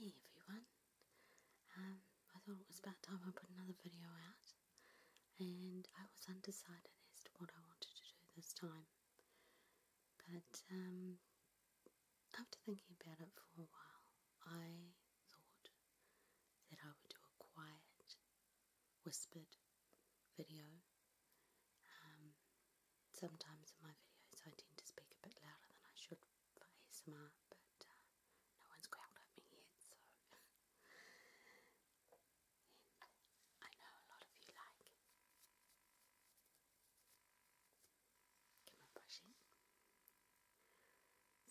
Hey everyone, um, I thought it was about time I put another video out and I was undecided as to what I wanted to do this time but um, after thinking about it for a while I thought that I would do a quiet whispered video. Um, sometimes in my videos I tend to speak a bit louder than I should for ASMR, but uh, no one's growled at me yet, so. I know a lot of you like camera brushing,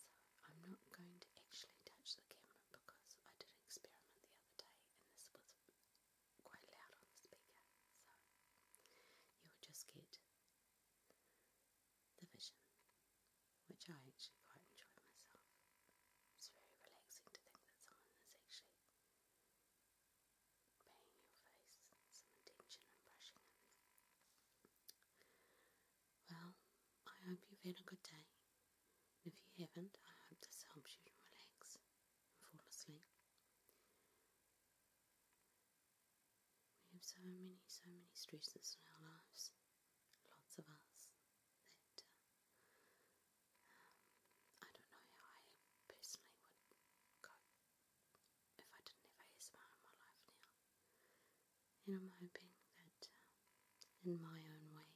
so I'm not going to actually touch the camera because I did an experiment the other day and this was quite loud on the speaker, so you would just get the vision, which I actually quite enjoy myself. It's very relaxing to think that someone is actually paying your face some attention and brushing it. Well, I hope you've had a good day. And if you haven't, I hope this helps you to relax and fall asleep. We have so many, so many stresses in our lives, lots of us, uh, um, I don't know how I personally would cope if I didn't have ASMR in my life now. And I'm hoping that um, in my own way,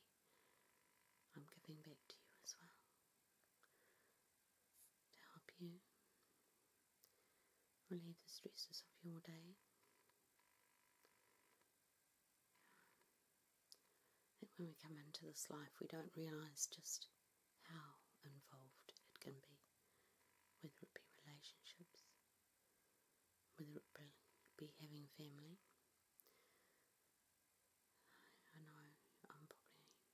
I'm giving back to you as well to help you relieve the stresses of your day. I when we come into this life, we don't realize just how involved it can be, whether it be relationships, whether it be having family. I know I'm probably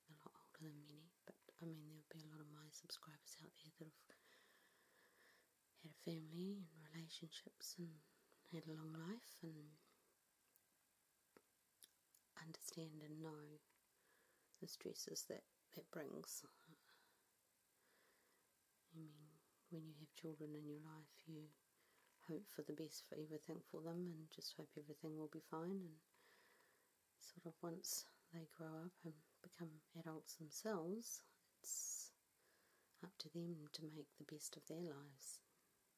a lot older than many, but I mean, there would be a lot of my subscribers out there that have had family and relationships and had a long life and understand and know the stresses that that brings I mean, when you have children in your life, you hope for the best for everything for them and just hope everything will be fine. And sort of once they grow up and become adults themselves, it's up to them to make the best of their lives.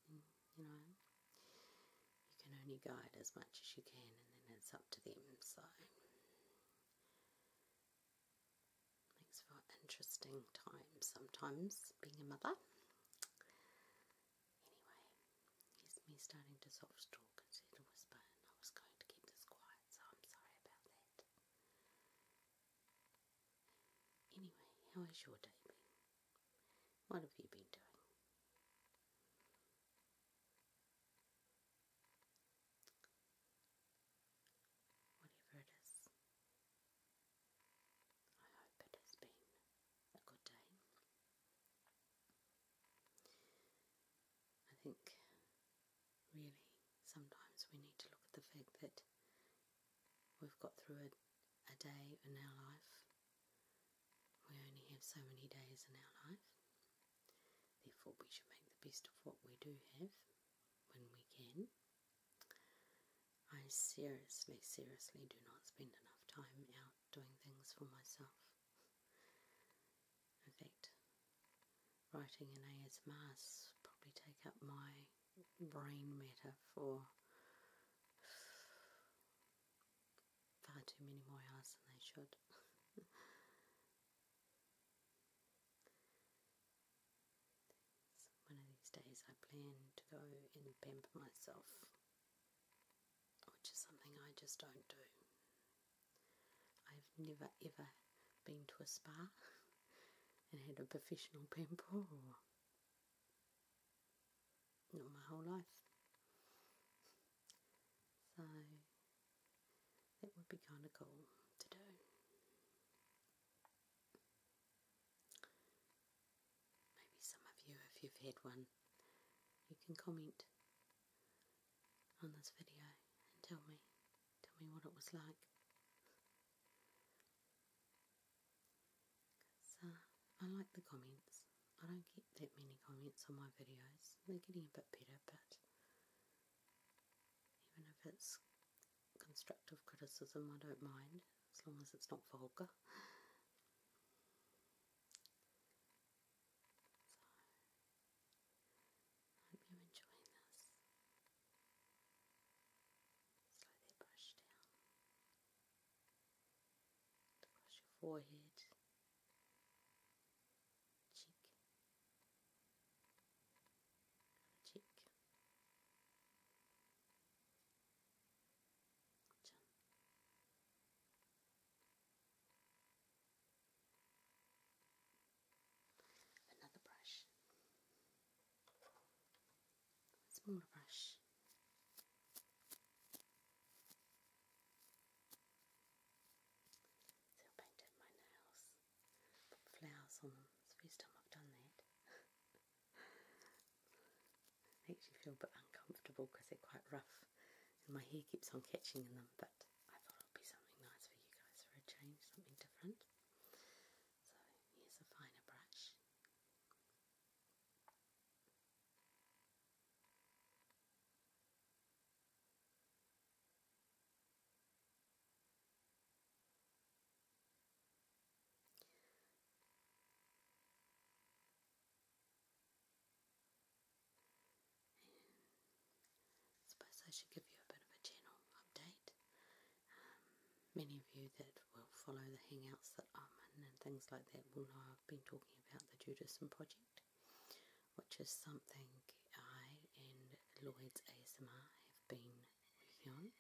you know, you can only guide as much as you can, and then it's up to them. So Makes for interesting time sometimes being a mother. Anyway, here's me starting to soft talk instead of whisper, and I was going to keep this quiet, so I'm sorry about that. Anyway, how your day What have you been doing? Whatever it is, I hope it has been a good day. I think really sometimes we need to look at the fact that we've got through a, a day in our life. We only have so many days in our life. Therefore, we should make the best of what we do have when we can. I seriously, seriously do not spend enough time out doing things for myself. In fact, writing and ASMRs probably take up my brain matter for far too many more hours than they should. One of these days, I plan to go and pamper myself, which is something I just don't do. I've never ever been to a spa and had a professional pamper, not my whole life. So that would be kind of cool to do. Maybe some of you, if you've had one, you can comment on this video and tell me, tell me what it was like. So uh, I like the comments. I don't get that many comments on my videos. They're getting a bit better, but even if it's constructive criticism, I don't mind, as long as it's not vulgar. So, I you enjoying this. Slow brush down. Across your forehead, cheek, cheek, Another brush, a smaller brush. So painted my nails flowers on them. It's first time I've done that. Makes you feel a bit uncomfortable because they're quite rough and my hair keeps on catching in them, but I thought it would be something nice for you guys for a change, something different. So here's a finer brush suppose I should give you a bit of a channel update. Um, many of you that will follow the Hangouts that I'm in and things like that will know I've been talking about the Judaism Project, which is something I and Lloyd's ASMR have been um,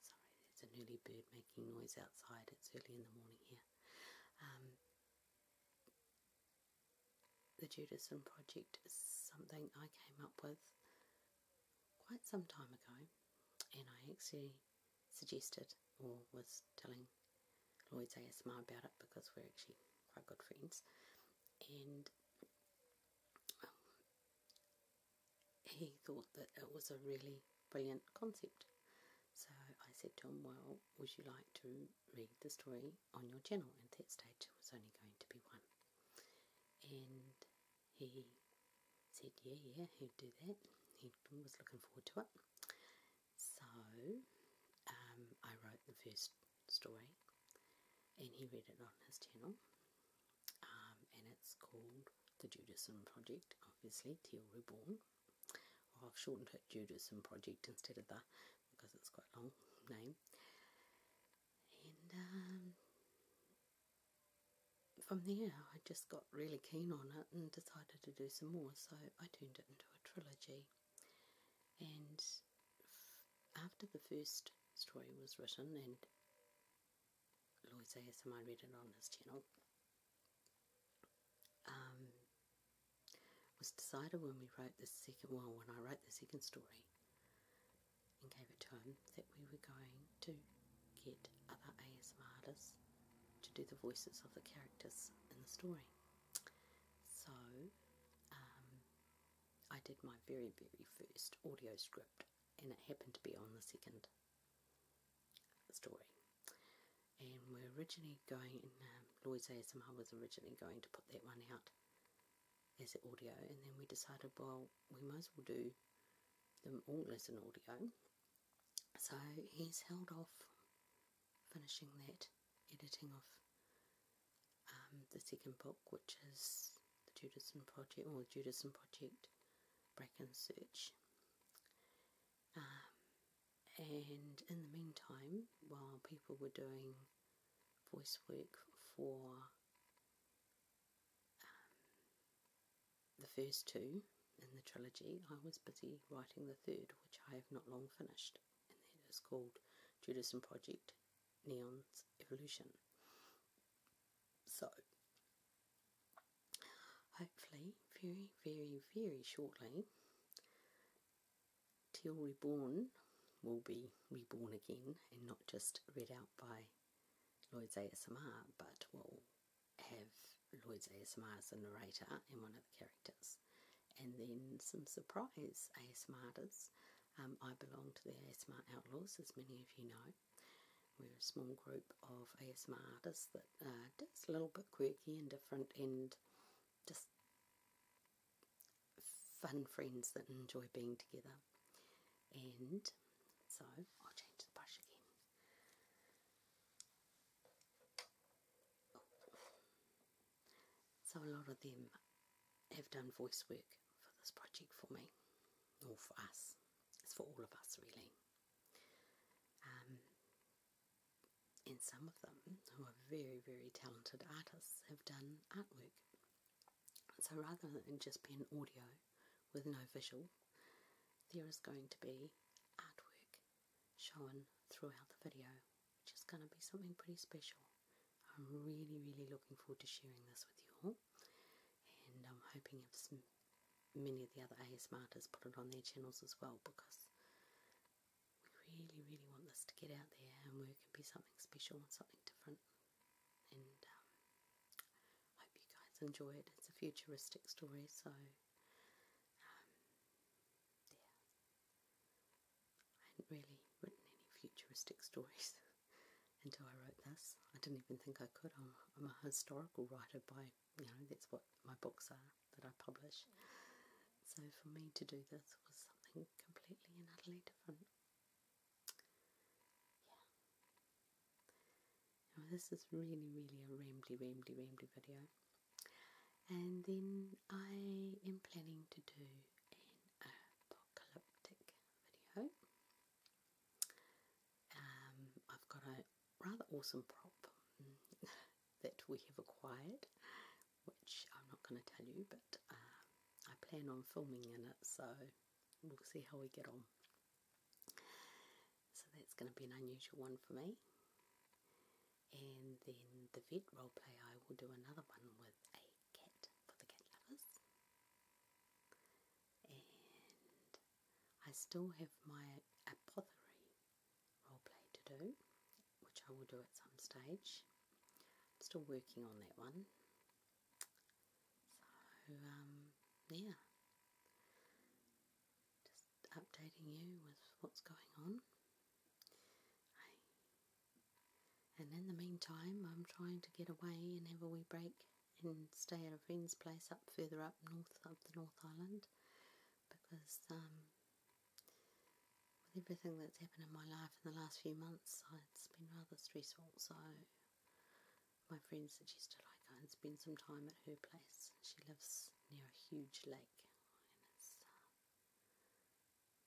sorry, there's an early bird making noise outside. It's early in the morning here. Um, the Judaism Project is something I came up with quite some time ago, and I actually suggested or was telling Lloyd ASMR about it because we're actually quite good friends. And um, he thought that it was a really brilliant concept. So I said to him, Well, would you like to read the story on your channel? And at that stage, there was only going to be one. And he said, Yeah, yeah, he'd do that. He was looking forward to it. So um, I wrote the first story, and he read it on his channel. Um, and it's called The Judaism Project, obviously, Teal Reborn. I've shortened it Judaism Project instead of that because it's quite a long name. And um, from there, I just got really keen on it and decided to do some more, so I turned it into a trilogy. And after the first story was written, and Lloyd ASMR read it on this channel, um, was decided when we wrote the second one. when I wrote the second story and gave it to him that we were going to get other ASMR artists to do the voices of the characters in the story. So um, I did my very, very first audio script, and it happened to be on the second story. And we're originally going, um, Lloyd's ASMR was originally going to put that one out as audio, and then we decided, well, we might as well do them all as an audio. So he's held off finishing that editing of um, the second book, which is the Judaism Project or the Judaism Project Break and Search. Um, and in the meantime, while people were doing voice work for um, the first two in the trilogy, I was busy writing the third, which I have not long finished, and that is called Judaism Project Neon's Evolution. So, hopefully, very, very, very shortly, Teal Reborn will be reborn again and not just read out by Lloyd's ASMR, but will have Lloyd's ASMR as a narrator and one of the characters. And then some surprise ASMRters um, I belong to the ASMR Outlaws, as many of you know. We're a small group of ASMR artists that are just a little bit quirky and different and just fun friends that enjoy being together. And so I'll change the brush again. Oh. So a lot of them have done voice work for this project for me, or for us. It's for all of us, really. Um, and some of them, who are very, very talented artists, have done artwork. So rather than just be an audio with no visual, there is going to be artwork shown throughout the video which is going to be something pretty special. I'm really, really looking forward to sharing this with you all, and I'm hoping if many of the other ASMRters put it on their channels as well because we really, really want this to get out there and where it can be something special and something different. And um, hope you guys enjoy it. It's a futuristic story, so um, yeah, I hadn't really written any futuristic stories until I wrote this. I didn't even think I could. I'm, a historical writer by, you know, that's what my books are that I publish. So for me to do this was something completely and utterly different. Yeah. this is really, really a rambly, rambly, rambly video. And then I am planning to do apocalyptic video. Um, I've got a rather awesome prop that we have acquired, which I'm not going to tell you, but um, I plan on filming in it, so we'll see how we get on. So that's going to be an unusual one for me. And then the vet play. I will do another one with a cat for the cat lovers. And I still have my apothecary roleplay to do, which I will do at some stage. I'm still working on that one. So, um, yeah. Just updating you with what's going on. And in the meantime, I'm trying to get away Whenever we break and stay at a friend's place up further up north, up the North Island, because um, with everything that's happened in my life in the last few months, uh, it's been rather stressful. So my friend suggested I go and spend some time at her place. She lives near a huge lake,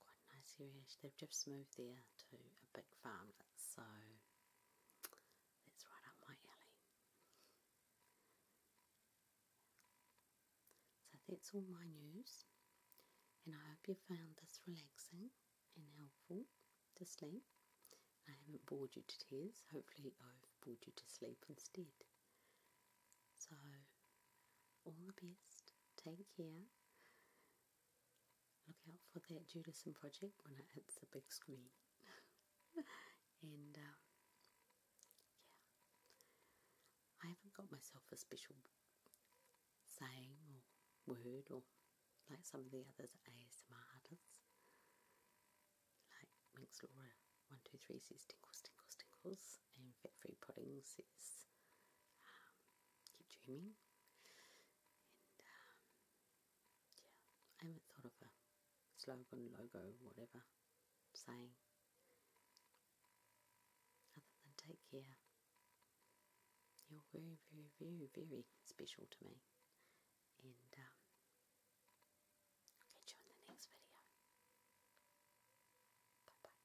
quite nice area. They've just moved there to a big farm, so uh, that's right up my alley. So that's all my news, and I hope you found this relaxing and helpful to sleep. I haven't bored you to tears, hopefully, I've bored you to sleep instead. So, all the best, take care, Look out for that Judison project when it hits the big screen. and um, yeah, I haven't got myself a special saying or word or like some of the other ASMR artists. Like Winx Laura123 says tingles, tingles, tingles, and Fat Free Pudding says um, keep dreaming. And um, yeah, I haven't thought of a slogan, logo, whatever saying other than take care. You're very, very, very, very special to me. And um, I'll catch you in the next video. Bye bye.